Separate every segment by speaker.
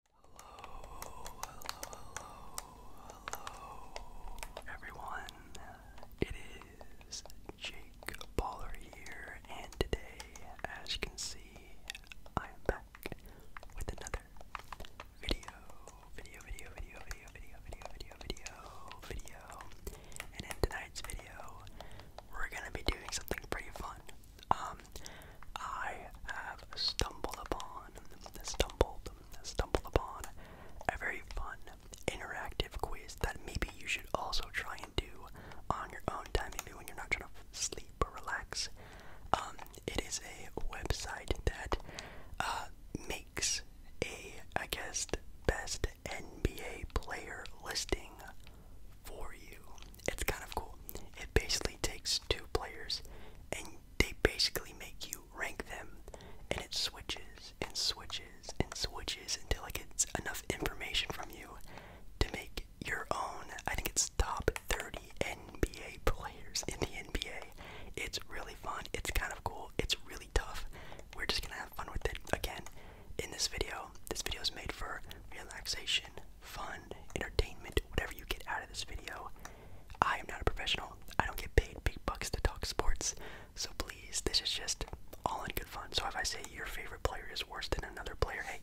Speaker 1: Hello, hello, hello, hello, everyone. It is Jake Baller here, and today, as you can see, I am back with another video, video, video, video, video, video, video, video, video, video. And in tonight's video, we're gonna be doing something pretty fun um, I have stumbled upon, stumbled, stumbled upon a very fun interactive quiz that maybe you should also try and do on your own time, maybe when you're not trying to sleep or relax. Um, it is a website that uh, makes a, I guess, best NBA player listing for you. It's kind of cool. It basically takes two players and they basically make you rank them and it switches and switches and switches until it gets enough information from you to make your own. I think it's top 30 NBA players in the NBA. It's really fun. It's kind of cool. It's really tough. We're just going to have fun with it again in this video. This video is made for relaxation, fun, entertainment, whatever you get out of this video. I am not a professional. I don't get paid big bucks to talk sports. So please, this is just all in good fun. So if I say your favorite player is worse than another player, hey,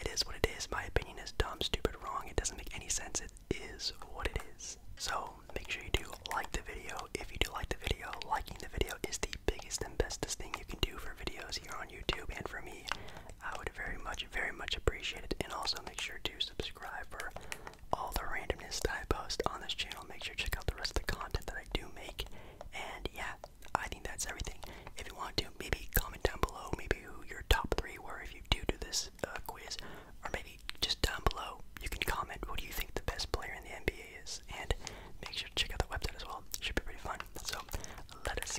Speaker 1: it is what it is. My opinion is dumb, stupid, wrong. It doesn't make any sense. It is what it is. So make sure you do like the video. If you do like the video, liking the video is the biggest and bestest thing you can do for videos here on YouTube and for me. I very much, very much appreciate it. And also make sure to subscribe for all the randomness that I post on this channel. Make sure to check out the rest of the content that I do make. And yeah, I think that's everything. If you want to, maybe comment down below maybe who your top three were if you do do this uh, quiz. Or maybe just down below, you can comment what do you think the best player in the NBA is. And make sure to check out the website as well. It should be pretty fun. So let us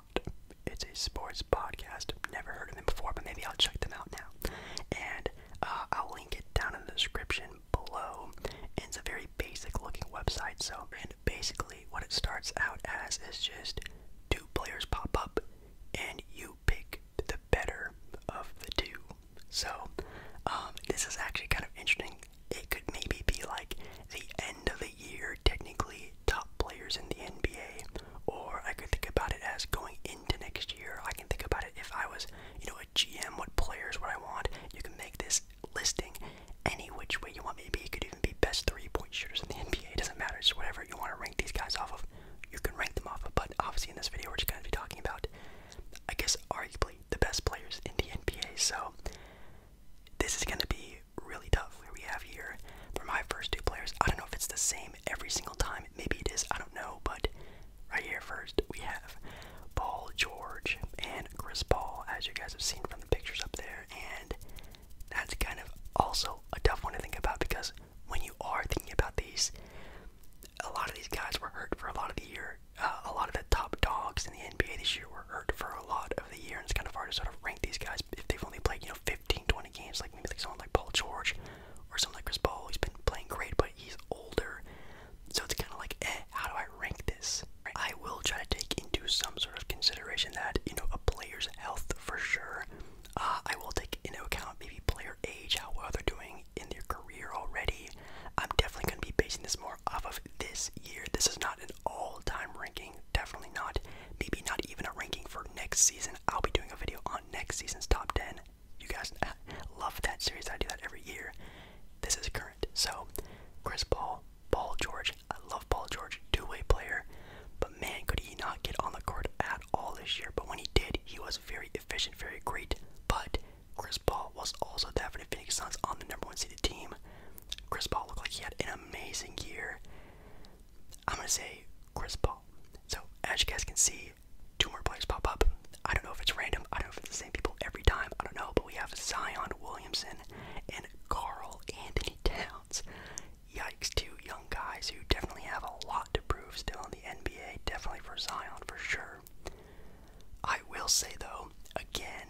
Speaker 1: It's a sports podcast. Never heard of them before, but maybe I'll check them out now. And uh, I'll link it down in the description below. And it's a very basic looking website. So, and basically, what it starts out as is just two players pop up, and you pick the better of the two. So, um, this is actually kind of interesting it could maybe be like the end of the year, technically top players in the NBA, or I could think about it as going into next year. I can think about it if I was, you know, a GM, what players would I want? You can make this listing any which way you want. Maybe it could even be best three point shooters in the NBA. It doesn't matter, It's whatever you want to rank these guys off of. You can rank them off but obviously in this video we're just gonna be talking about I guess arguably the best players in the NBA. So this is gonna be really tough. Where we have here for my first two players, I don't know if it's the same every single time. Maybe it is. I don't know. But right here first, we have Paul George and Chris Paul, as you guys have seen from the pictures up there, and that's kind of also a tough one to think about because when you are thinking about these, a lot of these guys were hurt for a lot of the year. Uh, a lot of the top dogs in the NBA this year were hurt for a lot the year, and it's kind of hard to sort of rank these guys if they've only played you know 15, 20 games. Like maybe like someone like Paul George or someone like Chris Paul. He's been playing great, but he's older, so it's kind of like, eh, how do I rank this? I will try to take into some sort of consideration that you know a player's health for sure. Uh, I will take into account maybe player age, how well they're doing in their career already. I'm definitely going to be basing this more off of this year. This is not all-time ranking, definitely not. Maybe not even a ranking for next season. I'll be doing a video on next season's top 10. You guys love that series. I do that every year. This is current. So, Chris Paul, Paul George. I love Paul George, two-way player. But man, could he not get on the court at all this year? But when he did, he was very efficient, very great. But Chris Paul was also definitely for Phoenix Suns on the number one seeded team. Chris Paul looked like he had an amazing year. I'm gonna say Chris Paul. So as you guys can see, two more players pop up. I don't know if it's random. I don't know if it's the same people every time. I don't know, but we have Zion Williamson and Carl Anthony Towns. Yikes, two young guys who definitely have a lot to prove still in the NBA. Definitely for Zion for sure. I will say though, again,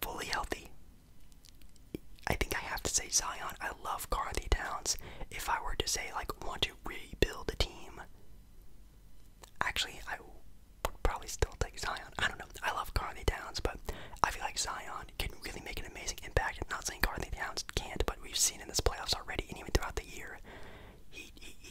Speaker 1: fully healthy. I think I have to say Zion. I love Carthy Towns. If I were to say like want to rebuild a team, actually I would probably still take Zion. I don't know. I love Carthy Towns, but I feel like Zion can really make an amazing impact. not saying Carthy Towns can't, but we've seen in this playoffs already, and even throughout the year,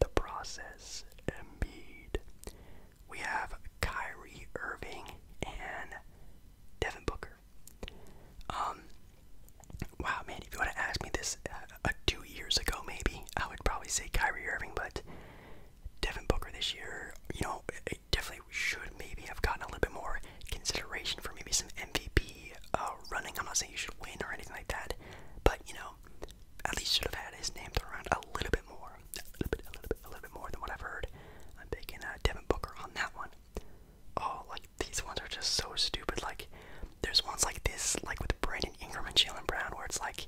Speaker 1: the process. Embiid. We have Kyrie Irving and Devin Booker. Um, wow, man, if you want to ask me this uh, uh, two years ago, maybe I would probably say Kyrie Irving, but Devin Booker this year, you know, definitely should maybe have gotten a little bit more consideration for maybe some MVP uh, running. I'm not saying you should win or anything like that, but you know, at least should have had his name thrown around a little bit more, a little bit, a little bit, more than what I've heard. I'm picking uh, Devin Booker on that one. Oh, like these ones are just so stupid. Like, there's ones like this, like with Brandon Ingram and Jalen Brown, where it's like,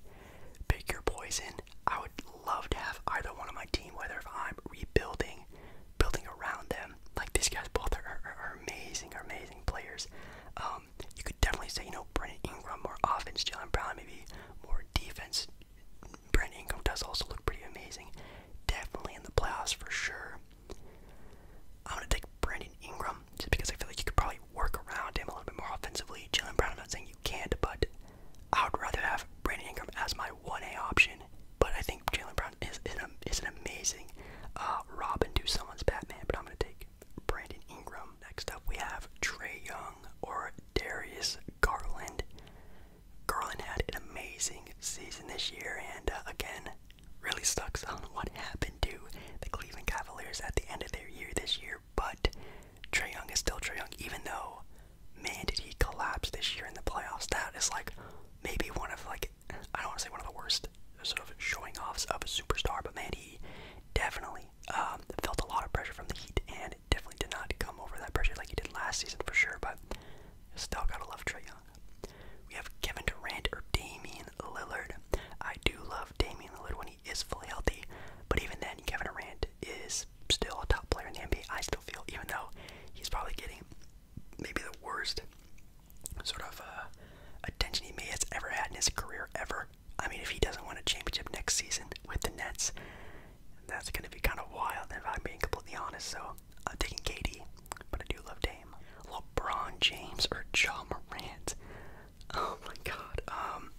Speaker 1: pick your poison. I would love to have either one on my team, whether if I'm rebuilding, building around them. Like these guys both are, amazing, amazing players. Um, um, you could definitely say, you know, Brandon Ingram more offense, Jalen Brown maybe more defense. Brandon Ingram does also look pretty amazing. Definitely in the playoffs for sure. I'm gonna take Brandon Ingram just because I feel like you could probably work around him a little bit more offensively. Jalen Brown, I'm not saying you can't, but I would rather have Brandon Ingram as my 1A option. But I think Jalen Brown is, an, is an amazing uh, Robin to someone's Batman, but I'm gonna take Brandon Ingram. Next up, we have Trey Young or Darius Garland. Garland had an amazing season this year, and uh, again, really sucks on what happened to the Cleveland Cavaliers at the end of their year this year. But Trey Young is still Trey Young, even though, man, did he collapse this year in the playoffs. That is like maybe one of like I don't want to say one of the worst sort of showing offs of a superstar, but man, he definitely um, felt a lot of pressure from the Heat, and definitely did not come over that pressure like he did last season for sure. But still, gotta love Trey Young. We have Kevin Durant or Damian Lillard. I do love Damian Lillard when he is fully healthy, but even then, Kevin Durant is still a top player in the NBA. I still feel, even though he's probably getting maybe the worst sort of uh, attention he may has ever had in his career ever. I mean, if he doesn't win a championship next season with the Nets, that's going to be kind of wild, if I'm being completely honest. So I'm taking Katie, but I do love Dame. LeBron James or Ja Morant? Oh my God. Um.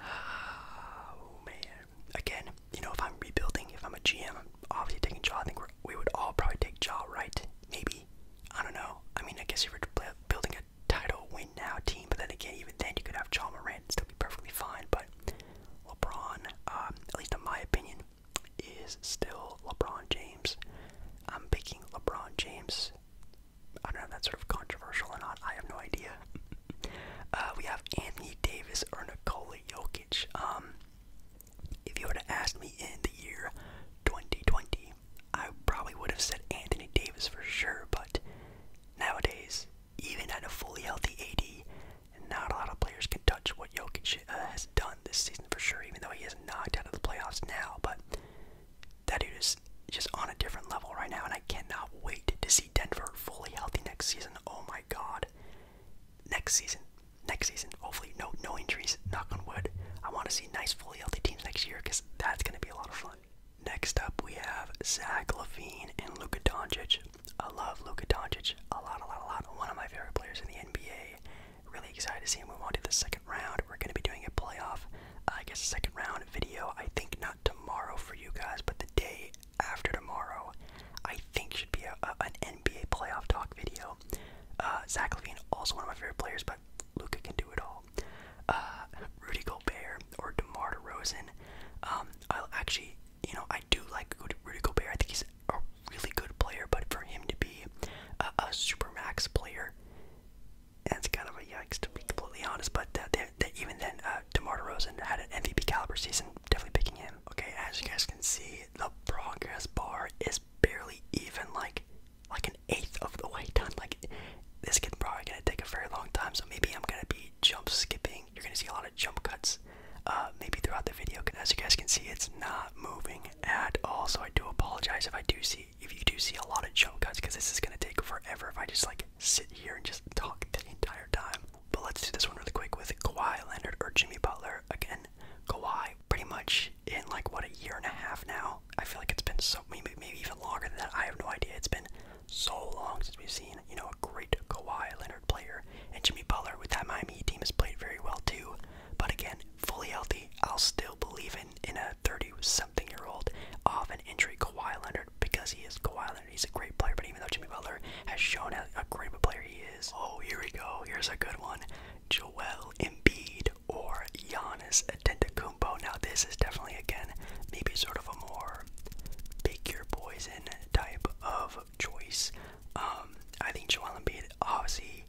Speaker 1: Oh man. Again, you know, if I'm rebuilding, if I'm a GM, obviously taking Ja. I think we would all probably take Ja, right? Maybe I don't know. I mean, I guess you're building a title win now team, but then again, even then, you could have John Morant and still be perfectly fine. But LeBron, um, at least in my opinion, is still LeBron James. I'm picking LeBron James. I don't know if that's sort of controversial or not. I have no idea. Uh, we have Anthony Davis or Nikola Jokic. Um, if you would have asked me in the year 2020, I probably would have said Anthony Davis for sure, but nowadays, even at a fully healthy AD, not a lot of players can touch what Jokic uh, has done this season for sure, even though he is knocked out of the playoffs now. But that dude is just on a different level right now, and I cannot wait to see Denver fully healthy next season. Oh my god. Next season, next season. Hopefully, no no injuries. Knock on wood. I want to see nice, fully healthy teams next year because that's going to be a lot of fun. Next up, we have Zach Levine and Luka Doncic. I love Luka Doncic a lot, a lot, a lot. One of my favorite players in the NBA. Really excited to see him We won't do the second round. We're going to be doing a playoff, uh, I guess, second round video. I think not tomorrow for you guys, but the day after tomorrow, I think should be a, an NBA playoff talk video. Uh, Zach Levine, also one of my favorite players, but Luca can do it all. Uh, Rudy Gobert or DeMar DeRozan. Um, I actually, you know, I do like Rudy Gobert. I think he's a really good player, but for him to be a, super max player, that's kind of a yikes to be completely honest. But uh, even then, uh, DeMar DeRozan had an MVP caliber season. Definitely picking him. Okay, as you guys can see, the progress bar is barely even like like an eighth of the way done. Like this could probably gonna take a very long time. So maybe I'm gonna be jump skipping. You're gonna see a lot of jump cuts, uh, maybe throughout the video. As you guys can see, it's not moving at all. So I do apologize if I do see if you do see a lot of jump cuts because this is gonna take forever if I just like sit here and just talk the entire time. But let's do this one really quick with Kawhi Leonard or Jimmy Butler again. Kawhi pretty much in like what a year and a half now. I feel like it's been so maybe maybe even longer than that. I have no idea. It's been so long since we've seen you know a great Kawhi Leonard player and Jimmy Butler with that Miami team has played very well too. But again, fully healthy, I'll still believe in in a 30-something year old off an injury Kawhi Leonard because he is Kawhi Leonard. He's a great player. But even though Jimmy Butler has shown a, a great player he is, oh here we go. Here's a good one. Joel Embiid or Giannis Antetokounmpo. Now this is definitely again maybe sort of a more bigger your poison type of choice. Um, I think Joel Embiid obviously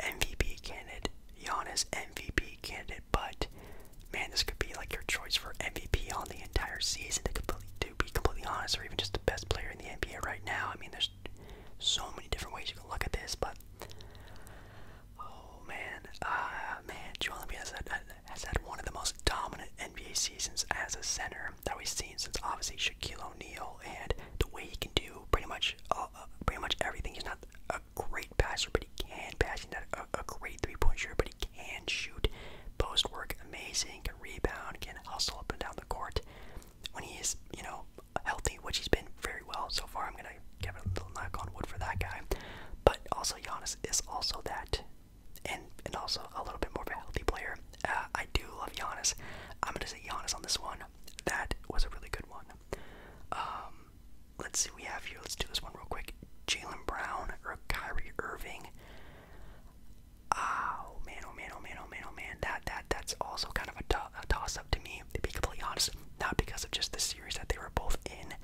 Speaker 1: MVP candidate, Giannis MVP candidate, but man, this could be like your choice for MVP on the entire season. To, completely to be completely honest, or even just the best player in the NBA right now. I mean, there's so many different ways you can look at this, but oh man, uh, man, Joel Embiid has, has had one of the most dominant NBA seasons as a center that we've seen since obviously Shaquille O'Neal, and the way he can do pretty much uh, uh, pretty much everything. He's not a great passer, but he can pass. He's not a, a great three-point shooter, but he can shoot. Post work, amazing. Can rebound. Can hustle up and down the court. When he is, you know, healthy, which he's been very well so far. I'm gonna give a little knock on wood for that guy. But also Giannis is also that, and and also a little bit more of a healthy player. Uh, I do love Giannis. I'm gonna say Giannis on this one. That was a really good one. Um, let's see, we have here. Let's do this one real quick. Jalen Brown or Kyrie Irving. Oh man, oh man, oh man, oh man, oh man. That that that's also kind of a, toss-up to me, to be completely honest. Not because of just the series that they were both in,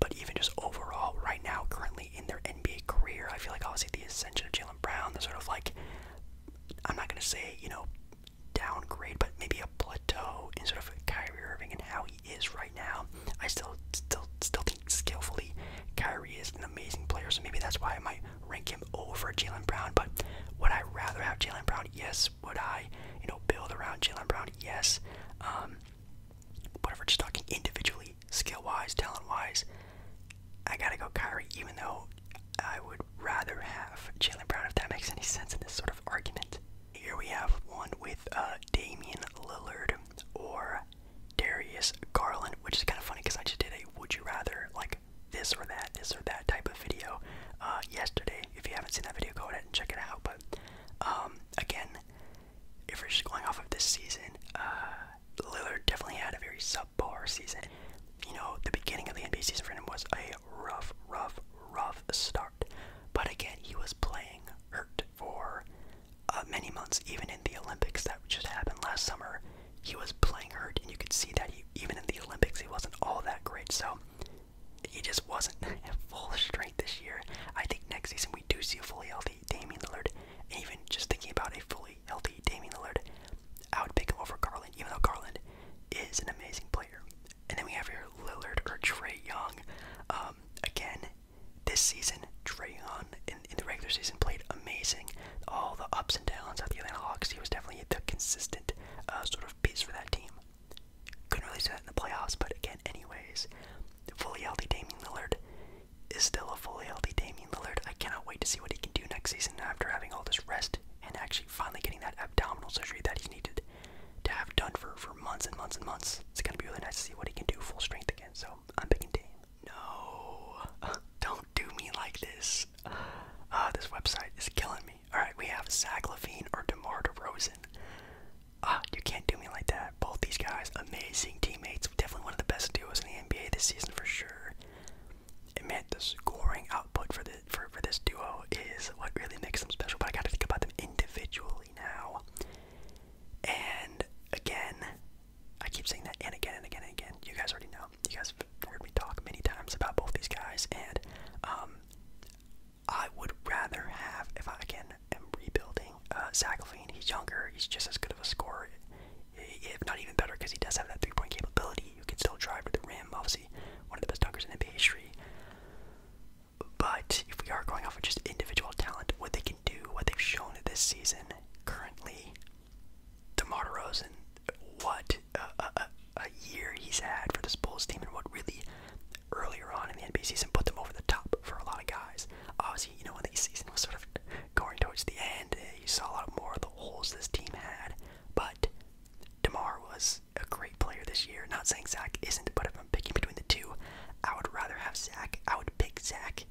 Speaker 1: but even just overall, right now, currently in their NBA career, I feel like obviously the ascension of Jalen Brown, the sort of like, I'm not gonna say you know downgrade, but maybe a plateau in sort of Kyrie Irving and how he is right now. I still still still think skillfully Kyrie is an amazing player, so maybe that's why I might rank him over Jalen Brown, but would I rather have Jalen Brown? Yes. Would I, you know, build around Jalen Brown? Yes. Um, are just talking individually, skill wise, talent wise, I gotta go Kyrie, even though I would rather have Jalen Brown, if that makes any sense in this sort of argument. Here we have one with uh, Damian Lillard or Darius Garland, which is kind of funny because I just did a would you rather like this or that, this or that type of video uh, yesterday. If you haven't seen that video, go ahead and check it out. But um, again, if we're just going off of this season, uh, Lillard definitely had a very subpar season. You know, the beginning of the NBA season for him was a rough, rough, rough start. But again, he was playing hurt for uh, many months, even in the Olympics that just happened last summer he was playing hurt, and you could see that even in the Olympics, he wasn't all that great. So he just wasn't at full strength this year. I think next season we do see a fully healthy Damian Lillard. even just thinking about a fully healthy Damian Lillard, I would pick him over Garland, even though Garland is an amazing player. And then we have here Lillard or Trey Young. Um, again, this season, Trey Young in the regular season played amazing all the ups and downs of the Atlanta Hawks, he was definitely the consistent uh, sort of piece for that team. Couldn't really say that in the playoffs, but again, anyways, fully healthy Damian Lillard is still a fully healthy Damian Lillard. I cannot wait to see what he can do next season after having all this rest and actually finally getting that abdominal surgery that he needed to have done for, for months and months and months. It's going to be really nice to see what he can do full strength again, so I'm picking Dame. No, don't do me like this. Ah, this website is killing me. All right, we have Zach or DeMar DeRozan. Ah, you can't do me like that. Both these guys, amazing teammates, definitely one of the best duos in the NBA this season for sure. And man, the scoring output for the for for this duo is what really makes them special. But I gotta think about them individually now. And again, I keep saying that and again and again and again. You guys already know. You guys have heard me talk many times about both these guys, and um, I would rather have, if I again am rebuilding, uh, Zach Levine. He's younger. He's just as good of a scorer, if not even better, because he does have that three-point capability. You can still drive to the rim. Obviously, one of the best dunkers in NBA history. But if we are going off of just individual talent, what they can do, what they've shown this season, currently DeMar DeRozan, what a, year he's had for this Bulls team, and what really earlier on in the NBA season put them over the top for a lot of guys. Obviously, you know, when the season was sort of going towards the end, eh, you saw a lot more of the holes this team had, but DeMar was a great player this year. Not saying Zach isn't, but if I'm picking between the two, I would rather have Zach. I would pick Zach,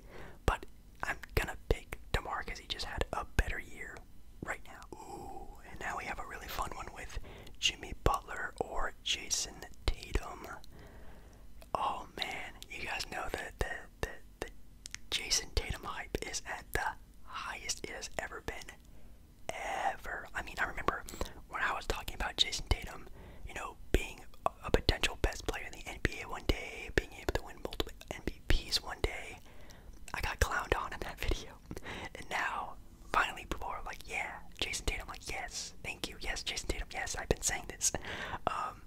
Speaker 1: but I'm gonna pick DeMar because he just had a better year right now. Ooh, and now we have a really fun one with Jimmy Butler or Jason Tatum. Oh man, you guys know that the, the, the Jason Tatum hype is at the highest it has ever been. Ever. I mean, I remember when I was talking about Jason Tatum, you know, being a potential best player in the NBA one day, being able to win multiple MVPs one day, I got clowned on in that video. And now, finally, people are like, yeah, Jason Tatum. Like, yes, thank you. Yes, Jason Tatum. Yes, I've been saying this. Um,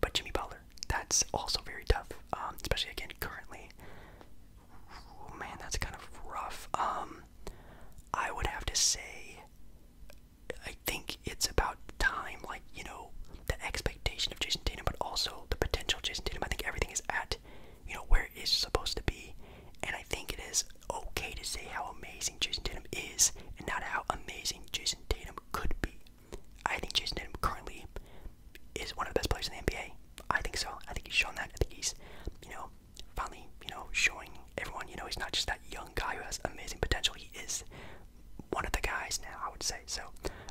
Speaker 1: but Jimmy Butler, that's also very tough, um, especially again currently. man, that's kind of rough. Um, I would have to say, I think it's about time. Like, you know, the expectation of Jason Tatum, but also the potential of Jason Tatum. I think everything is at, you know, where it is supposed to be. And I think it is okay to say how amazing Jason Tatum is and not how amazing Jason Tatum could be. I think Jason Tatum currently is one of the best players in the NBA. I think so. I think he's shown that. I think he's, you know, finally, you know, showing everyone, you know, he's not just that young guy who has amazing potential. He is one of the guys now, I would say. So,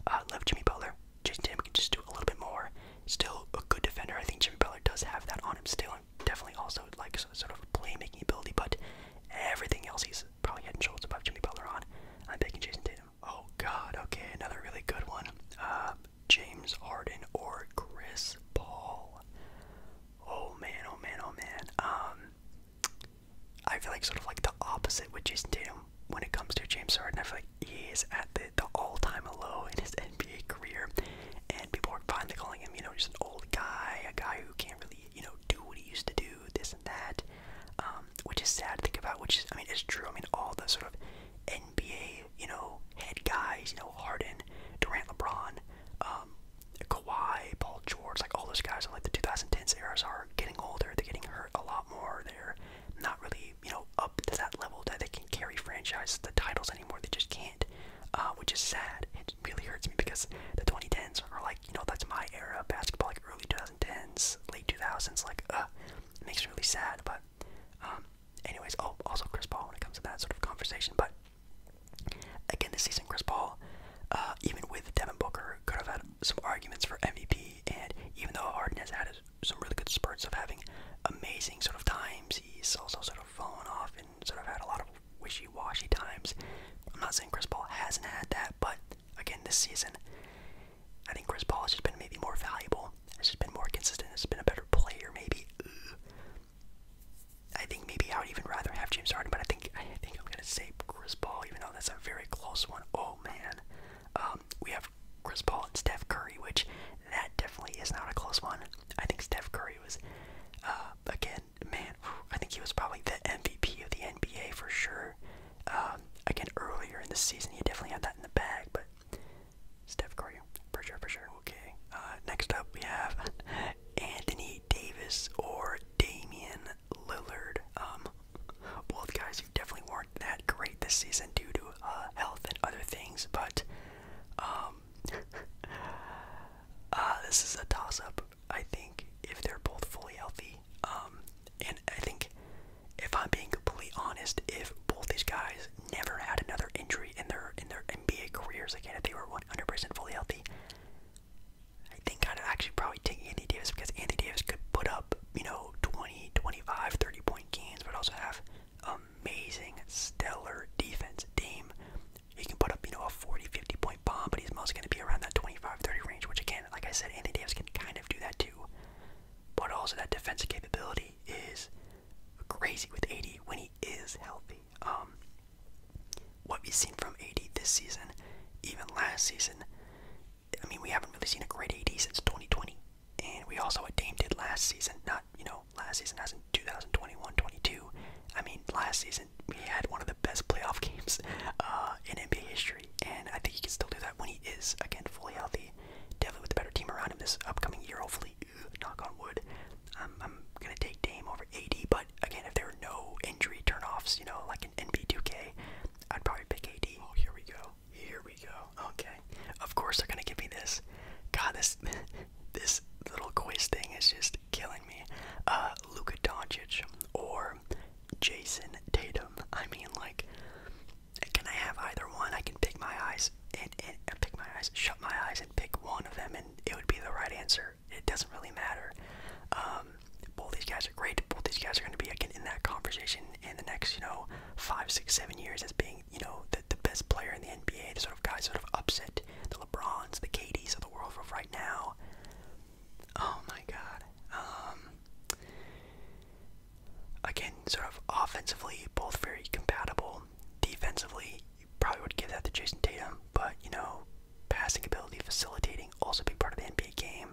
Speaker 1: uh, love Jimmy Butler. Jason Tatum can just do a little bit more. Still a good defender. I think Jimmy Butler does have that on him still, definitely also like sort of playmaking ability. But everything else, he's probably had and shoulders above Jimmy Butler on. I'm picking Jason Tatum. Oh God. Okay, another really good one. Uh, James Harden or Chris Paul. Oh man. Oh man. Oh man. Um, I feel like sort of like the opposite with Jason Tatum when it comes to James Harden. I feel like he is at the, the all-time low in his NBA career, and people are finally calling him, you know, just an old guy, a guy who can't really, you know, do what he used to do, this and that, um, which is sad to think about. Which is, I mean, it's true. I mean, all the sort of NBA, you know, head guys, you know, Harden, Durant, LeBron, um, Kawhi, Paul George, like all those guys in like the 2010s eras are getting older. They're getting hurt a lot more. They're not really, you know, up to that level that they can carry franchise the titles anymore. They just can't, uh, which is sad. It really hurts me because the 2010s are like, you know, that's my era of basketball, like early 2010s, late 2000s. Like, uh, it makes me really sad. But, um, anyways, oh, also Chris Paul when it comes to that sort of conversation. But again, this season, Chris Paul, uh, even with Devin Booker, could have had some arguments for MVP, and even though Harden has had some really good spurts of having amazing sort of times, he's also sort of fallen off and sort of had a lot of wishy-washy times. I'm not saying Chris Paul hasn't had that, but again, this season, I think Chris Paul has just been maybe more valuable, has just been more consistent, has been a better player, maybe. I think maybe I would even rather have James Harden, but I think I think I'm gonna say Chris Paul, even though that's a very close one. Oh man, um, we have Chris Paul and Steph Curry, which that definitely is not a close one. I think Steph Curry was, uh, again, man, I think he was probably the MVP of the NBA for sure. Um, again, earlier in the season, he definitely had that in the bag, but Steph Curry, for sure, for sure. Okay, uh, next up we have Anthony Davis or Damian Lillard. Um, both guys who definitely weren't that great this season due to uh, health and other things, but um, uh, this is a toss-up. I think if they're both fully healthy, um, and I think if I'm being completely honest, if both these guys never had another injury in their in their NBA careers again, if they were 100% fully healthy, I think I'd actually probably take Andy Davis because Andy Davis could put up, you know, 20, 25, 30 point games, but also have amazing, stellar defense. Dame, he can put up, you know, a 40, 50 point bomb, but he's mostly going to be around that 25, 30 range, which again, like I said, Andy Davis can kind of do that too. But also, that defensive capability is crazy with AD when he is healthy. Um, what we've seen from AD this season, even last season, I mean, we haven't really seen a great AD since 2020, and we also what Dame did last season. Not you know last season, as in 2021-22. I mean, last season we had one of the best playoff games uh, in NBA history, and I think he can still do that when he is again fully healthy. Definitely with a better team around him this upcoming year, hopefully. knock on wood. I'm, I'm gonna take Dame over AD, but again, if there are no injury turnoffs, you know, like an NBA 2K, I'd probably pick AD. Oh, here we go. Here we go. Okay. Of course they're gonna give me this. God, this this little quiz thing is just killing me. Uh, Luka Doncic or Jason Tatum. I mean, like, can I have either one? I can pick my eyes and, and, pick my eyes, shut my eyes, and pick one of them, and it would be the right answer. It doesn't really matter. Uh, um, both these guys are great. Both these guys are going to be again in that conversation in the next, you know, five, six, seven years as being, you know, the, best player in the NBA. The sort of guys sort of upset the LeBrons, the KDs of the world of right now. Oh my God. Um, again, sort of offensively, both very compatible. Defensively, probably would give that to Jason Tatum, but you know, passing ability, facilitating, also be part of the NBA game.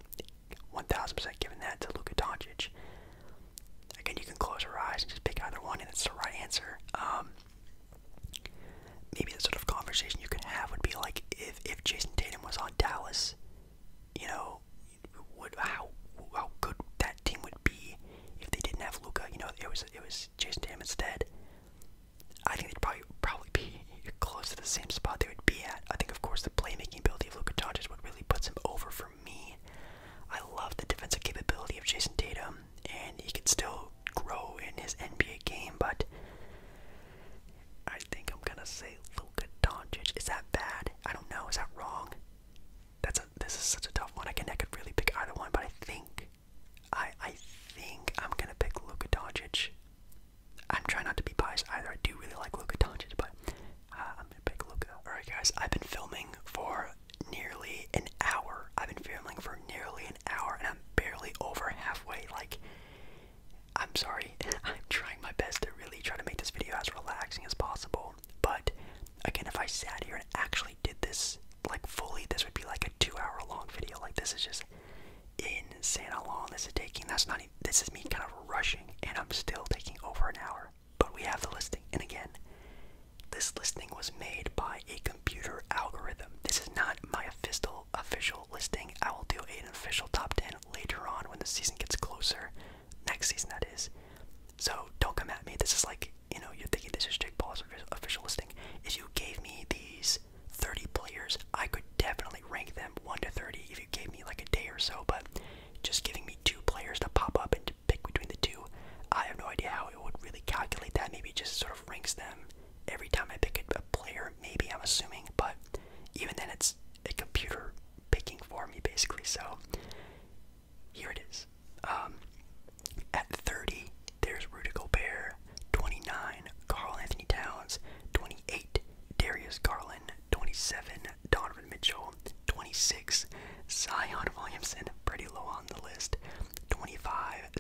Speaker 1: 1,000% giving that to Luka Doncic. Again, you can close your eyes and just pick either one, and it's the right answer. Um, maybe the sort of conversation you could have would be like if, if Jason Tatum was on Dallas, you know, would how how good that team would be if they didn't have Luka. You know, it was it was Jason Tatum instead. I think they'd probably probably be you're close to the same spot they would be at. I think, of course, the playmaking ability of Luka Doncic is what really puts him over for me. I love the defensive capability of Jason Tatum, and he can still grow in his NBA game, but I think I'm gonna say Luka Doncic. Is that bad? I don't know. Is that wrong? That's a, this is such a tough one. I can I could really pick either one, but I think I I think I'm gonna pick Luka Doncic. I'm trying not to be biased either. I do really like Luka Doncic, but uh, I'm gonna pick Luka. All right, guys, I've been filming for nearly an hour. I've been filming for nearly an hour, and I'm barely over halfway. Like, I'm sorry. I'm trying my best to really try to make this video as relaxing as possible. But again, if I sat here and actually did this like fully, this would be like a two-hour long video. Like, this is just insane how long this is taking. That's not even, this is me kind of rushing, and I'm still taking over an hour. But we have the listing, and again, this listing was made by a computer algorithm. This is not my official official listing. I will do an official top ten later on when the season gets closer, next season that is. So don't come at me. This is like you know you're thinking this is Jake Paul's official listing. If you gave me these 30 players. I could definitely rank them 1 to 30 if you gave me like a day or so, but just giving me two players to pop up and to pick between the two, I have no idea how it would really calculate that. Maybe just sort of ranks them every time I pick a player, maybe I'm assuming, but even then it's a computer picking for me basically, so here it is. Um, at 30, there's Rudy Gobert. 29, Carl Anthony Towns, 28, Darius Garland, 27, Donovan Mitchell, 26, Zion Williamson, pretty low on the list, 25,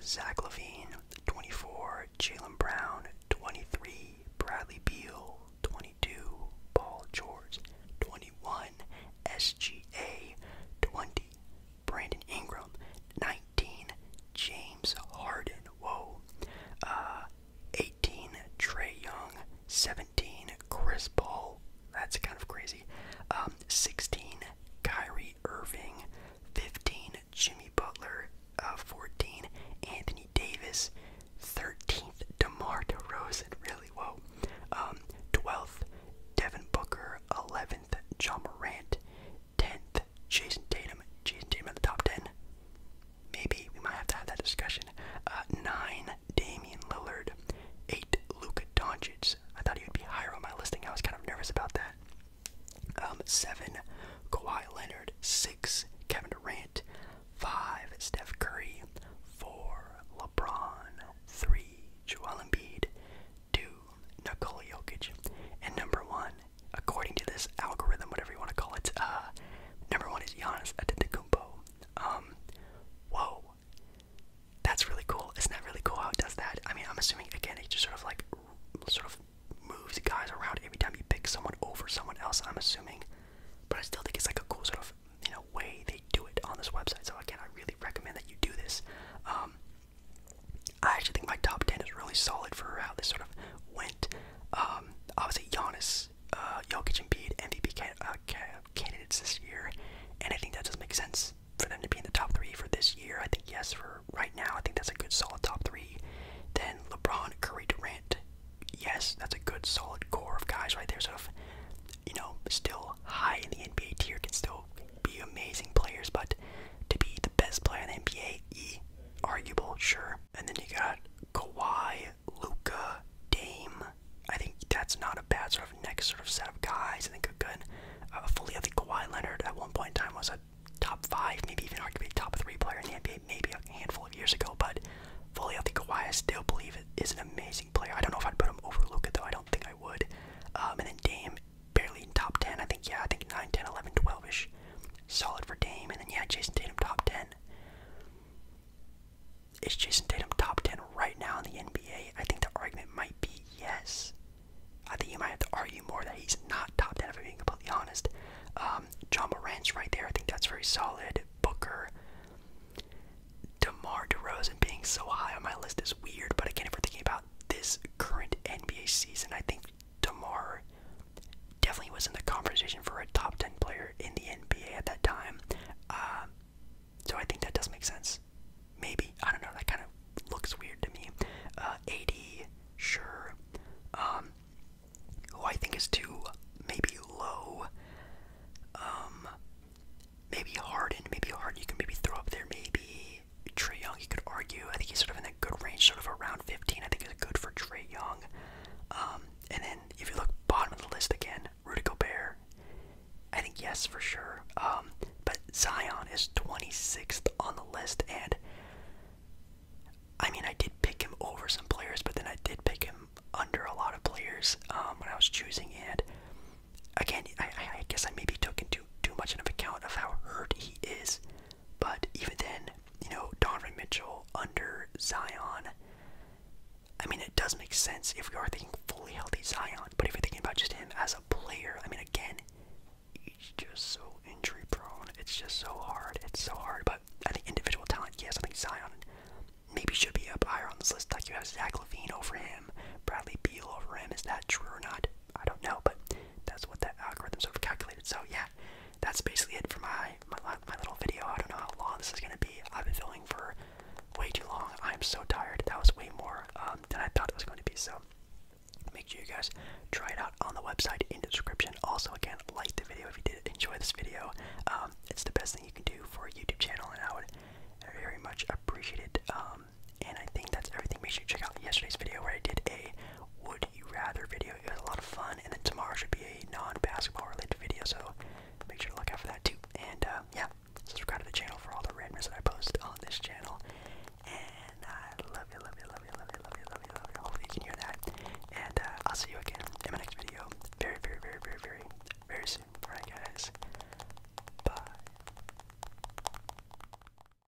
Speaker 1: Zach Levine, 24, Jalen Brown, 23, Bradley Beal, 22, Paul George, 21, SGA, 20, Brandon Ingram, 19, James Harden, Whoa. Uh, 18 Trey Young, 17 Chris Paul. That's kind of crazy. Um, 16 Kyrie Irving, 15 Jimmy Butler, uh, 14 Anthony Davis, 13th DeMar DeRozan. Really, whoa. Um, 12th Devin Booker, 11th John Morant, 10th, Jason Tatum. Jason Tatum at the top 10. Maybe we might have to have that discussion. Uh, 9, Damian Lillard. 8, Luka Doncic. I thought he would be higher on my listing. I was kind of nervous about that. Um, 7, Kawhi Leonard. 6, Kevin Durant. 5, Steph Curry. 4, LeBron. 3, Joel Embiid. 2, Nikola Jokic. And number 1, according to this algorithm, whatever you want to call it, uh, number one is Giannis Antetokounmpo. Um, whoa, that's really cool. Isn't that really cool how it does that? I mean, I'm assuming again it just sort of like sort of moves guys around every time you pick someone over someone else. I'm assuming, but I still think it's like a cool sort of you know way they do it on this website. So again, I really recommend that you do this. Um, I actually think my top ten is really solid for how this sort of went. obviously, um, Giannis, uh, Jokic, and Bede MVP uh, candidates this year, and I think that does make sense for them to be in the top three for this year. I think yes, for right now, I think that's a good solid top three. Then LeBron, Curry, Durant, yes, that's a good solid core of guys right there. Sort of, you know, still high in the NBA tier, can still be amazing players, but to be the best player in the NBA, Arguable, sure. And then you got Kawhi, Luca, Dame. I think that's not a bad sort of next sort of set of guys. I think a good, uh, fully. I think Kawhi Leonard at one point in time was a top five, maybe even arguably top three player in the NBA, maybe a handful of years ago. But fully, I think Kawhi, I still believe it is an amazing player. I don't know if I'd put him over Luca though. I don't think I would. Um, and then Dame barely top 10. I think, yeah, I think 9, 10, 11, 12 ish. Solid for Dame. And then, yeah, Jason Tatum top 10. Is Jason Tatum top 10 right now in the NBA? I think the argument might be yes. I think you might have to argue more that he's not top 10, if I'm being completely honest. Um, John Morant's right there. I think that's very solid. Booker. DeMar DeRozan being so high on my list is weird, but again, if we're thinking about this current NBA season, I think DeMar definitely was in the conversation for a top 10 player in the NBA at that time. Uh, so I think that does make sense. Maybe. I don't know. That kind of looks weird to me. Uh, AD, sure. Um, who I think is too maybe low. Um, maybe Harden. Maybe Harden you can maybe throw up there. Maybe Trey Young, you could argue. I think he's sort of in a good range, sort of around 15. I think is good for Trey Young. Um, and then if you look bottom of the list again, Rudy Gobert. I think yes for sure. Um, but Zion is 26th on the list, and I mean I did pick him over some players, but then I did pick him under a lot of players um, when I was choosing. And again, I, guess I maybe took into too much into account of how hurt he is. But even then, you know, Donovan Mitchell under Zion. I mean, it does make sense if we are thinking fully healthy Zion, but if you're thinking about just him as a player, I mean, again, he's just so injury prone. It's just so hard. It's so hard. But I think individual talent, yes, I think Zion maybe should be up higher on this list. Like you have Zach Levine over him, Bradley Beal over him. Is that true or not? I don't know, but that's what that algorithm sort of calculated. So yeah, that's basically it for my my, little video. I don't know how long this is gonna be. I've been filming for way too long. I'm so tired. That was way more um, than I thought it was going to be. So make sure you guys try it out on the website in the description. Also, again, like the video if you did enjoy this video. Um, it's the best thing you can do for a YouTube channel, and I would very much appreciate it. Um, and I think that's everything. Make sure you check out yesterday's video where I did a would you rather video. It was a lot of fun, and then tomorrow should be a non-basketball related video, so make sure to look out for that too. And uh, yeah, subscribe to the channel for all the randomness that I post on this channel. And I love you, love you, love you, love you, love you, love you, love you. Hopefully you can hear that. And uh, I'll see you again in my next video, very, very, very, very, very, very soon. All right, guys. Bye.